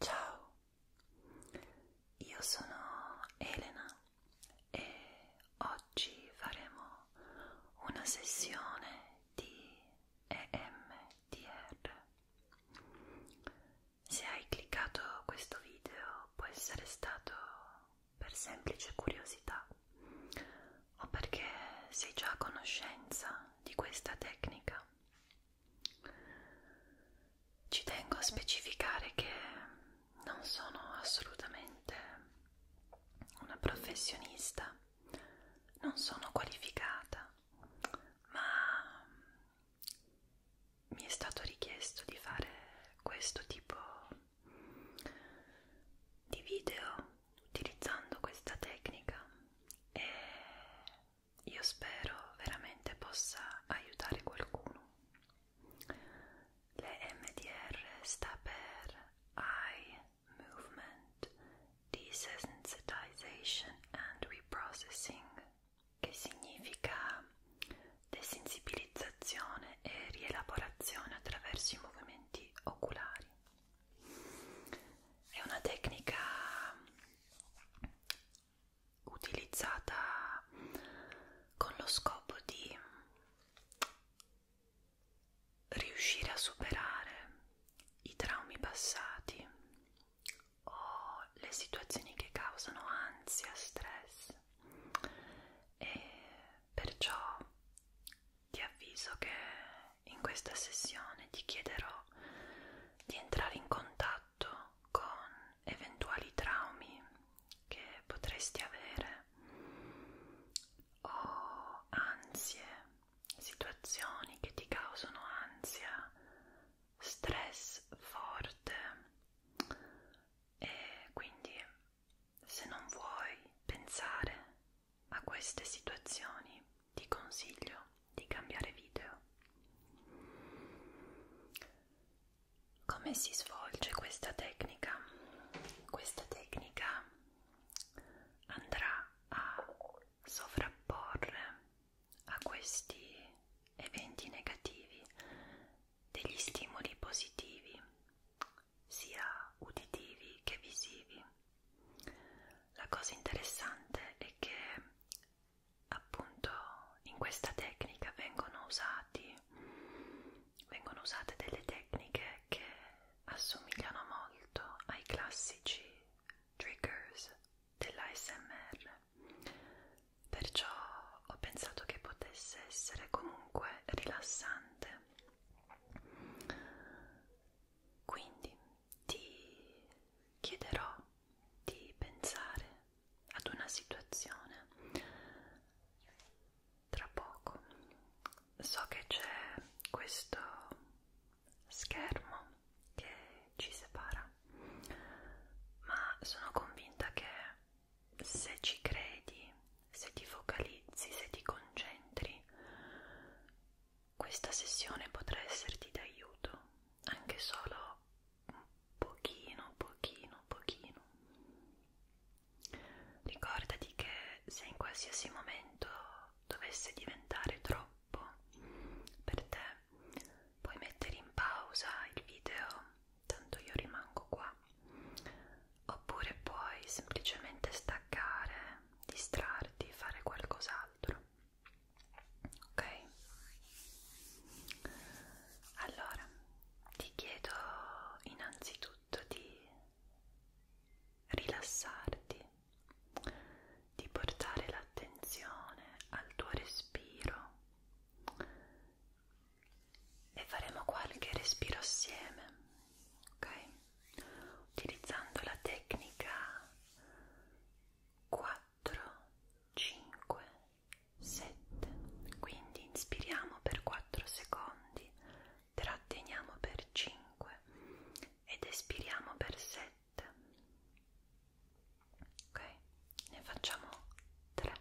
Ciao, io sono Elena e oggi faremo una sessione di EMDR. Se hai cliccato questo video può essere stato per semplice curiosità o perché sei già a conoscenza di questa tecnica ci tengo a specificare che non sono assolutamente una professionista, non sono qualificata, ma mi è stato richiesto di fare questo tipo di video utilizzando questa tecnica e io spero veramente possa aiutare qualcuno. L'EMDR sta per Eye Movement Desensitization and Reprocessing, che significa desensibilizzazione e rielaborazione attraverso i movimenti oculari. È una tecnica utilizzata con lo scopo di riuscire a superare i traumi passati o le situazioni che causano ansia, stress e perciò ti avviso che in questa sessione ti chiederò di entrare in contatto con eventuali traumi che potresti avere o ansie, situazioni che ti causano ansia, stress forte e quindi se non vuoi pensare a queste situazioni ti consiglio di cambiare video. Come si svolge questa tecnica? Questa tecnica andrà a sovrapporre a questi eventi negativi degli stimoli positivi sia uditivi che visivi la cosa interessante è che appunto in questa tecnica vengono usati vengono usate delle tecniche che assomigliano molto ai classici triggers dell'ASMR perciò ho pensato che potesse essere comunque rilassante quindi ti chiederò di pensare ad una situazione tra poco. So che c'è questo schermo che ci separa, ma sono convinta che se ci credi, se ti focalizzi, se ti concentri, questa sessione potrà esserti d'aiuto, anche solo un pochino, pochino, pochino. Ricordati che se in qualsiasi momento dovesse diventare troppo per te, puoi mettere in pausa il video, tanto io rimango qua, oppure puoi semplicemente staccare distrarti, fare qualcos'altro. Ok? Allora, ti chiedo innanzitutto di rilassarti, di portare l'attenzione al tuo respiro e faremo qualche respiro assieme ok? Utilizzando la tecnica 4, 5, 7, quindi inspiriamo per 4 secondi, tratteniamo per 5 ed espiriamo per 7. Ok, ne facciamo 3.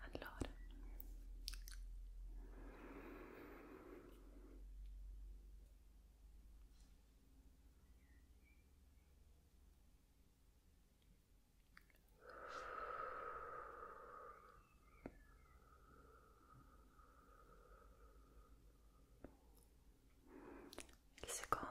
Allora. Il secondo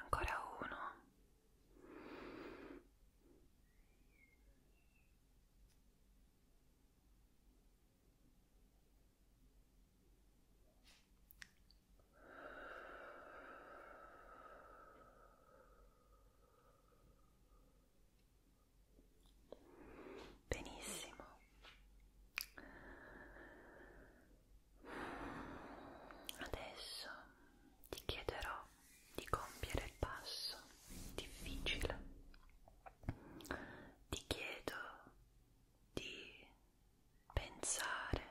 Ancora uno. Benissimo. Adesso ti chiederò di compiere il passo difficile. Ti chiedo di pensare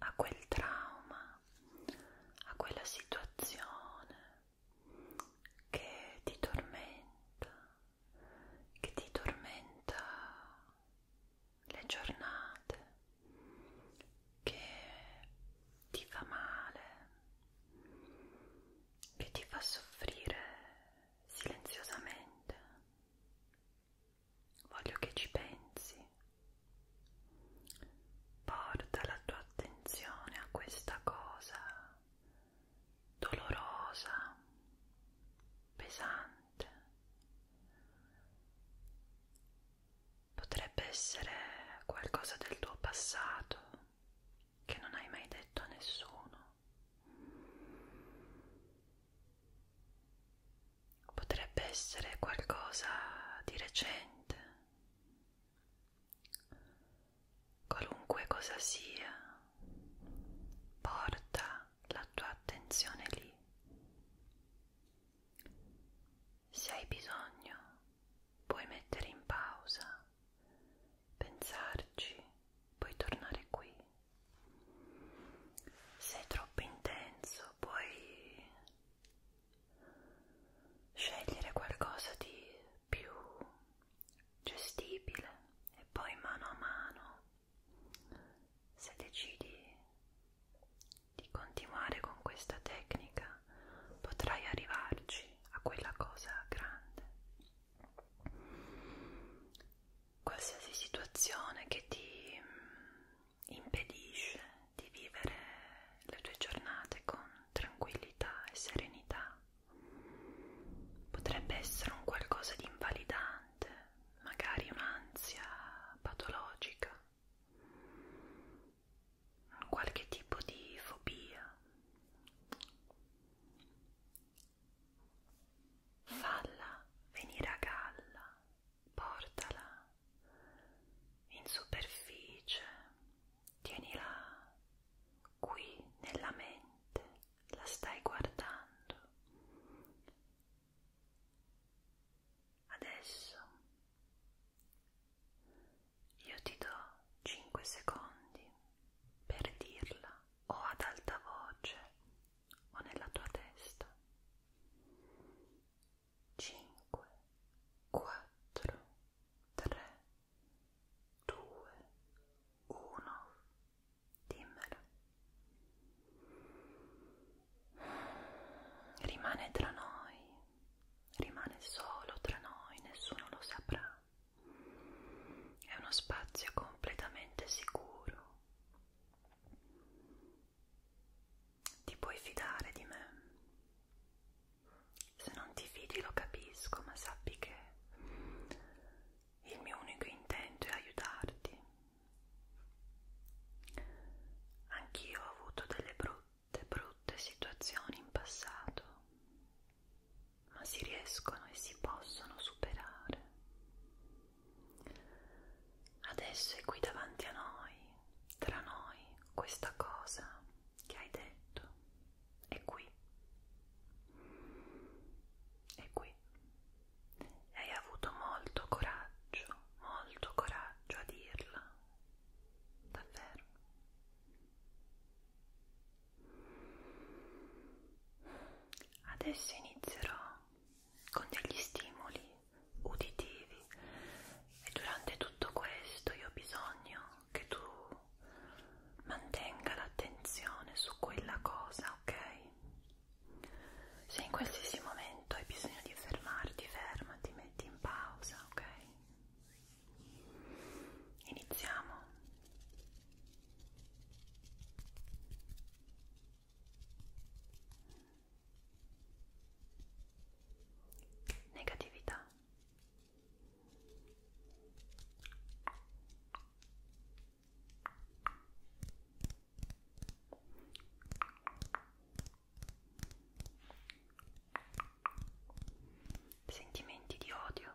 a quel trauma, a quella situazione che ti tormenta, che ti tormenta le giornate, che ti fa male, che ti fa soffrire silenziosamente Voglio che ci pensi. Porta la tua attenzione a questa cosa dolorosa, pesante. Potrebbe essere qualcosa del tuo passato che non hai mai detto a nessuno potrebbe essere qualcosa di recente, qualunque cosa sia, porta la tua attenzione lì. Se hai bisogno, puoi mettere in pausa, pensarci, puoi tornare qui se è troppo intenso puoi scegliere qualcosa di più gestibile e poi mano a mano se decidi di continuare con questa tecnica potrai arrivarci a quella cosa grande qualsiasi situazione che ti impedisce di vivere le tue giornate con tranquillità e serenità. Potrebbe essere un qualcosa di invalidante, magari un'ansia patologica, qualche tipo di fobia. Falla venire a galla portala in superficie, tienila qui nella mente, la stai guardando. Adesso io ti do 5 secondi per dirla o ad alta voce o nella tua testa. 5, 4, 3, 2, 1. Dimmelo. Rimane tra noi, rimane solo tra noi, nessuno lo saprà. È uno spazio completamente sicuro ti puoi fidare di me. Se non ti fidi lo capisco, ma sappi che il mio unico intento è aiutarti. Anch'io ho avuto delle brutte, brutte situazioni in passato, ma si riescono e si possono superare. Adesso è qui davanti a noi, tra noi, questa cosa che hai detto. È qui. È qui. E hai avuto molto coraggio, molto coraggio a dirla. Davvero. Adesso inizierò con degli stimoli uditivi e durante tutto questo io ho bisogno che tu mantenga l'attenzione su quella cosa, ok? Se in qualsiasi momento hai bisogno di fermarti, fermati, metti in pausa, ok? Iniziamo negatività sentimenti di odio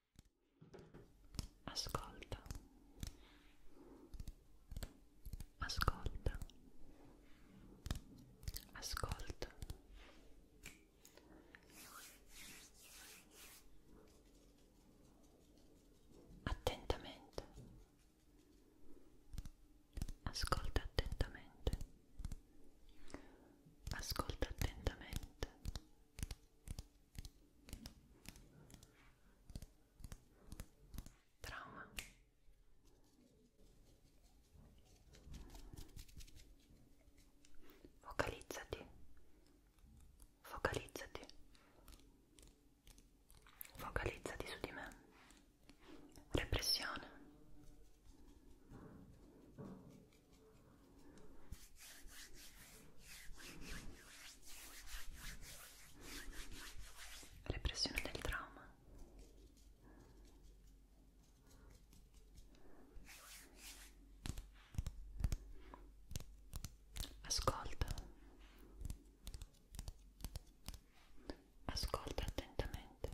Ascolta. Ascolta. Ascolta. Attentamente. Ascolta attentamente. Ascolta attentamente. trauma focalizzati focalizzati focalizzati su di me repressione Repressione del trauma. Ascolta. Ascolta attentamente.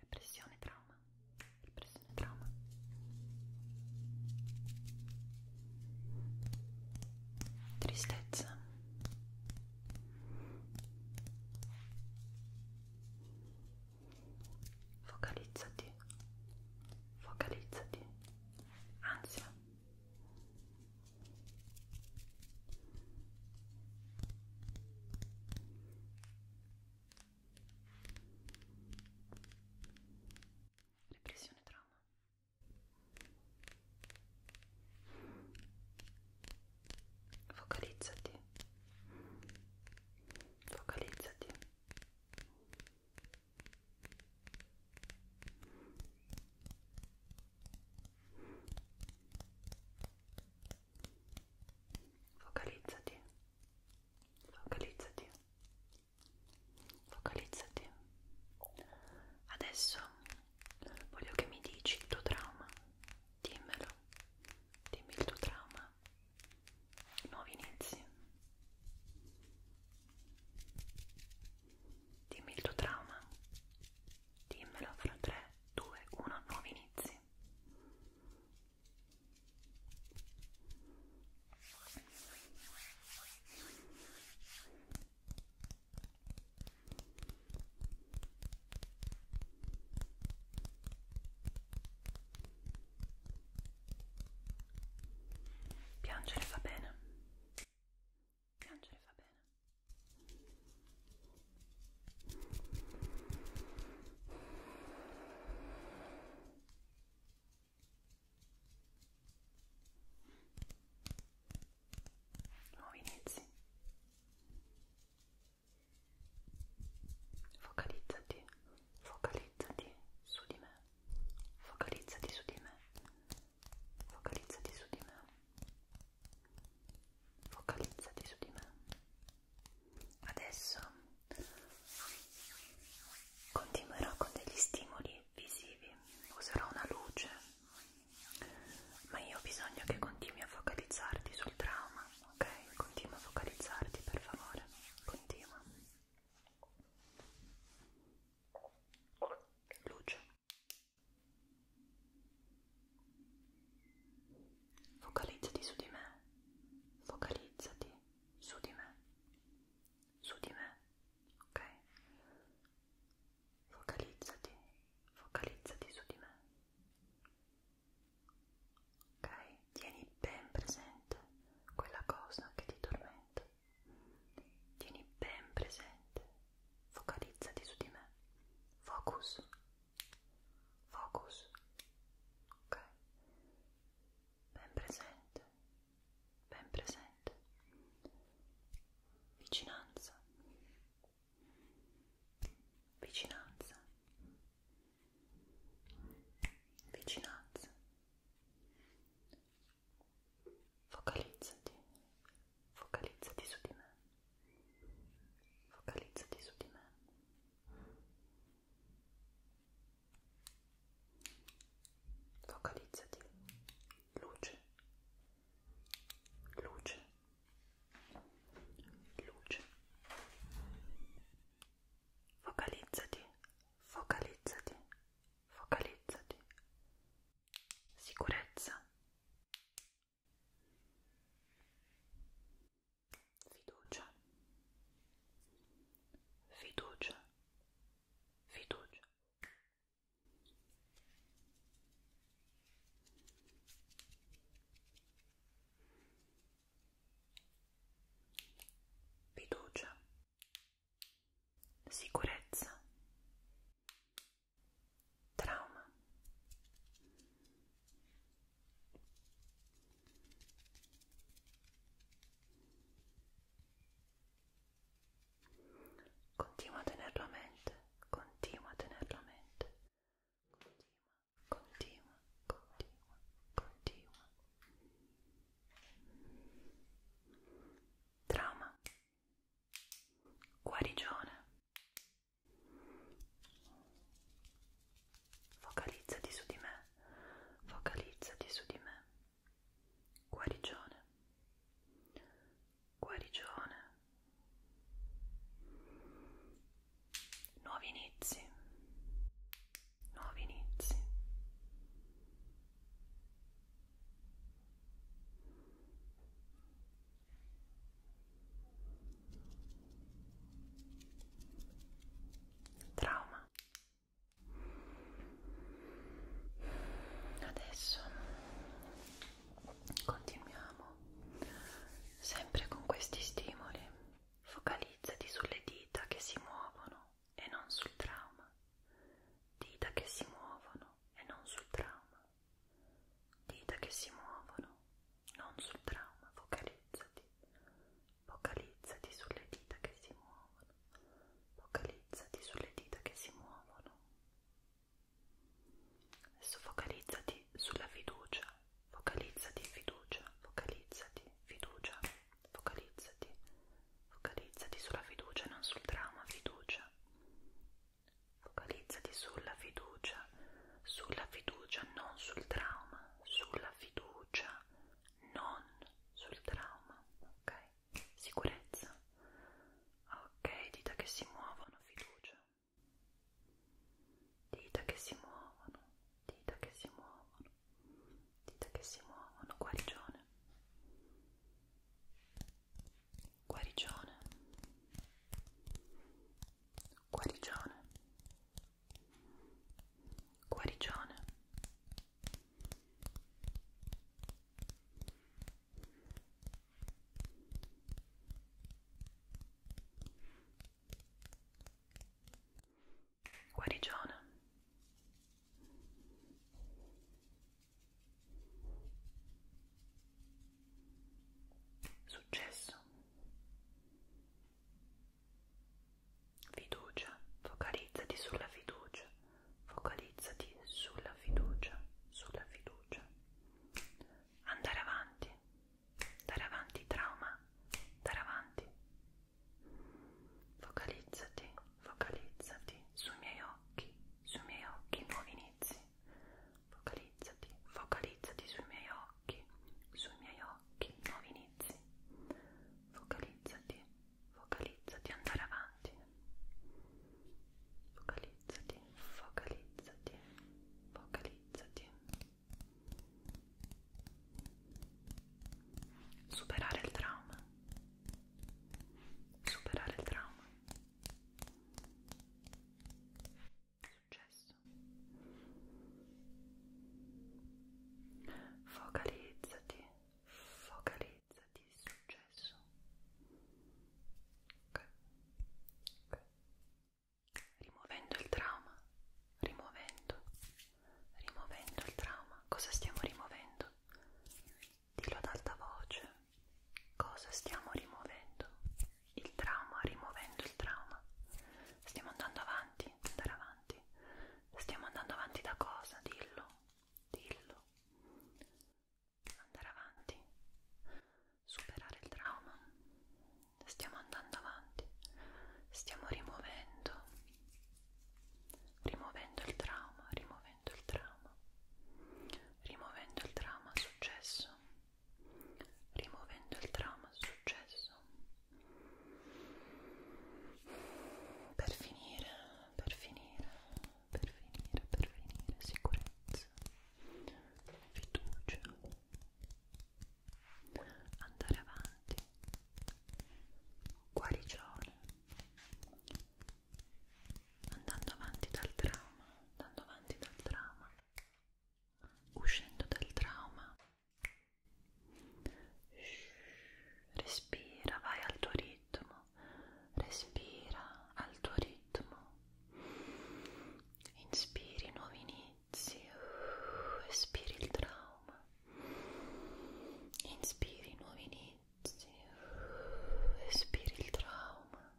repressione trauma repressione trauma tristezza focalizzati focalizzati ansia Repressione trauma. Focalizzati. Focalizzati. Focalizzati focalizzati focalizzati adesso voglio che mi dici il tuo trauma dimmelo dimmi il tuo trauma nuovi inizi dimmi il tuo trauma dimmelo fra 3 2 1 nuovi inizi Piangere fa bene. Piangere fa bene. Nuovi inizi. Focalizzati, focalizzati su di me. Focalizzati su di me. Focalizzati su di me. Focalizzati su di me. Adesso continuerò con degli stimoli visivi, userò una luce, ma io ho bisogno che continui a focalizzarti sul trauma, ok? Continua a focalizzarti per favore, continua. Luce. Focalizzati su di me, focalizzati su di me, su di me, ok? Focalizzati, focalizzati su di me, ok? Tieni ben presente quella cosa che ti tormenta, tieni ben presente, focalizzati su di me, focus focus ok ben presente ben presente vicinanza vicinanza vicinanza focalizzati focalizzati su di me focalizzati su di me Focalizzati. Luce. Luce. Luce. Focalizzati. Focalizzati. Focalizzati. Sicurezza fiducia, fiducia, fiducia. Fiducia, sicurezza, trauma. Continua a tenerlo a mente, continua a tenerlo a mente, continua, continua, continua, continua. Trauma, guarigione, Focalizzati su di me, focalizzati su di me. Guarigione, guarigione. Nuovi inizi, nuovi inizi. Trauma. Adesso continuiamo sempre con questi stimoli. Focalizzati sulle dita che si muovono e non sul trauma. Dita che si muovono e non sul trauma dita che si muovono, non sul trauma, focalizzati, focalizzati sulle dita che si muovono, focalizzati sulle dita che si muovono. Adesso focalizzati sulla fiducia, focalizzati fiducia, focalizzati fiducia, focalizzati, focalizzati sulla fiducia, non sul trauma, fiducia. Focalizzati sulla fiducia, sulla fiducia, non sul trauma, sulla fiducia, non sul trauma, ok? Sicurezza, ok? Dita che si muovono, fiducia, dita che si muovono, dita che si muovono, dita che si muovono, guarigione guarigione guarigione guarigione guarigione guarigione Successo. Fiducia. Focalizzati sulla fiducia. Focalizzati sulla fiducia. Sulla fiducia. Andare avanti. Andare avanti trauma. Andare avanti. Focalizzati, focalizzati sui miei occhi, sui miei occhi, nuovi inizi, focalizzati, focalizzati sui miei occhi, sui miei occhi, nuovi inizi, focalizzati, focalizzati, andare avanti, focalizzati, focalizzati, focalizzati, superare il trauma, superare il trauma Successo. Focalizzati, focalizzati, successo. Ok. Ok. Rimuovendo il trauma, rimuovendo, rimuovendo il trauma. Cosa stiamo rimuovendo? Dillo ad alta voce cosa stiamo rimuovendo? Il trauma, rimuovendo il trauma. Stiamo andando avanti, andare avanti. Stiamo andando avanti da cosa? Dillo, dillo. Andare avanti. Superare il trauma. Stiamo andando avanti. Stiamo rimuovendo. Rimuovendo il trauma, rimuovendo il trauma. Rimuovendo il trauma, successo rimuovendo il trauma successo per finire, per finire, per finire, per finire sicurezza, fiducia, andare avanti, guarigione andando avanti dal trauma, andando avanti dal trauma, uscendo dal trauma. Respira, vai al tuo ritmo, respira al tuo ritmo. Inspiri nuovi inizi, espiri il trauma. Inspiri nuovi inizi, espiri il trauma.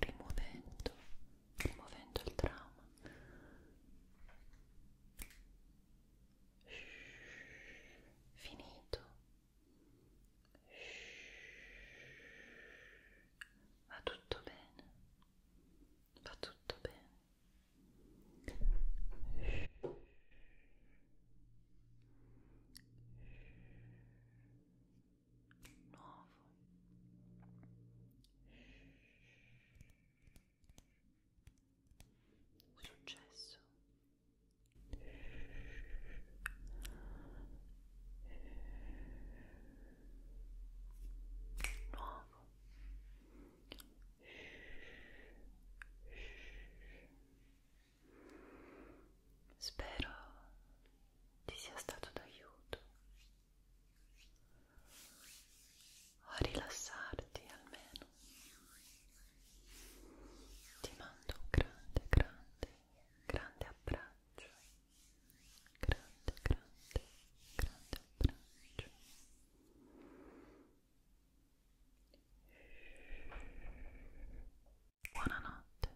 rimuovendo, rimuovendo il trauma. Finito. Va tutto bene. Va tutto bene nuovo successo nuovo Spero ti sia stato d'aiuto a rilassarti almeno ti mando un grande grande grande abbraccio grande grande grande abbraccio buonanotte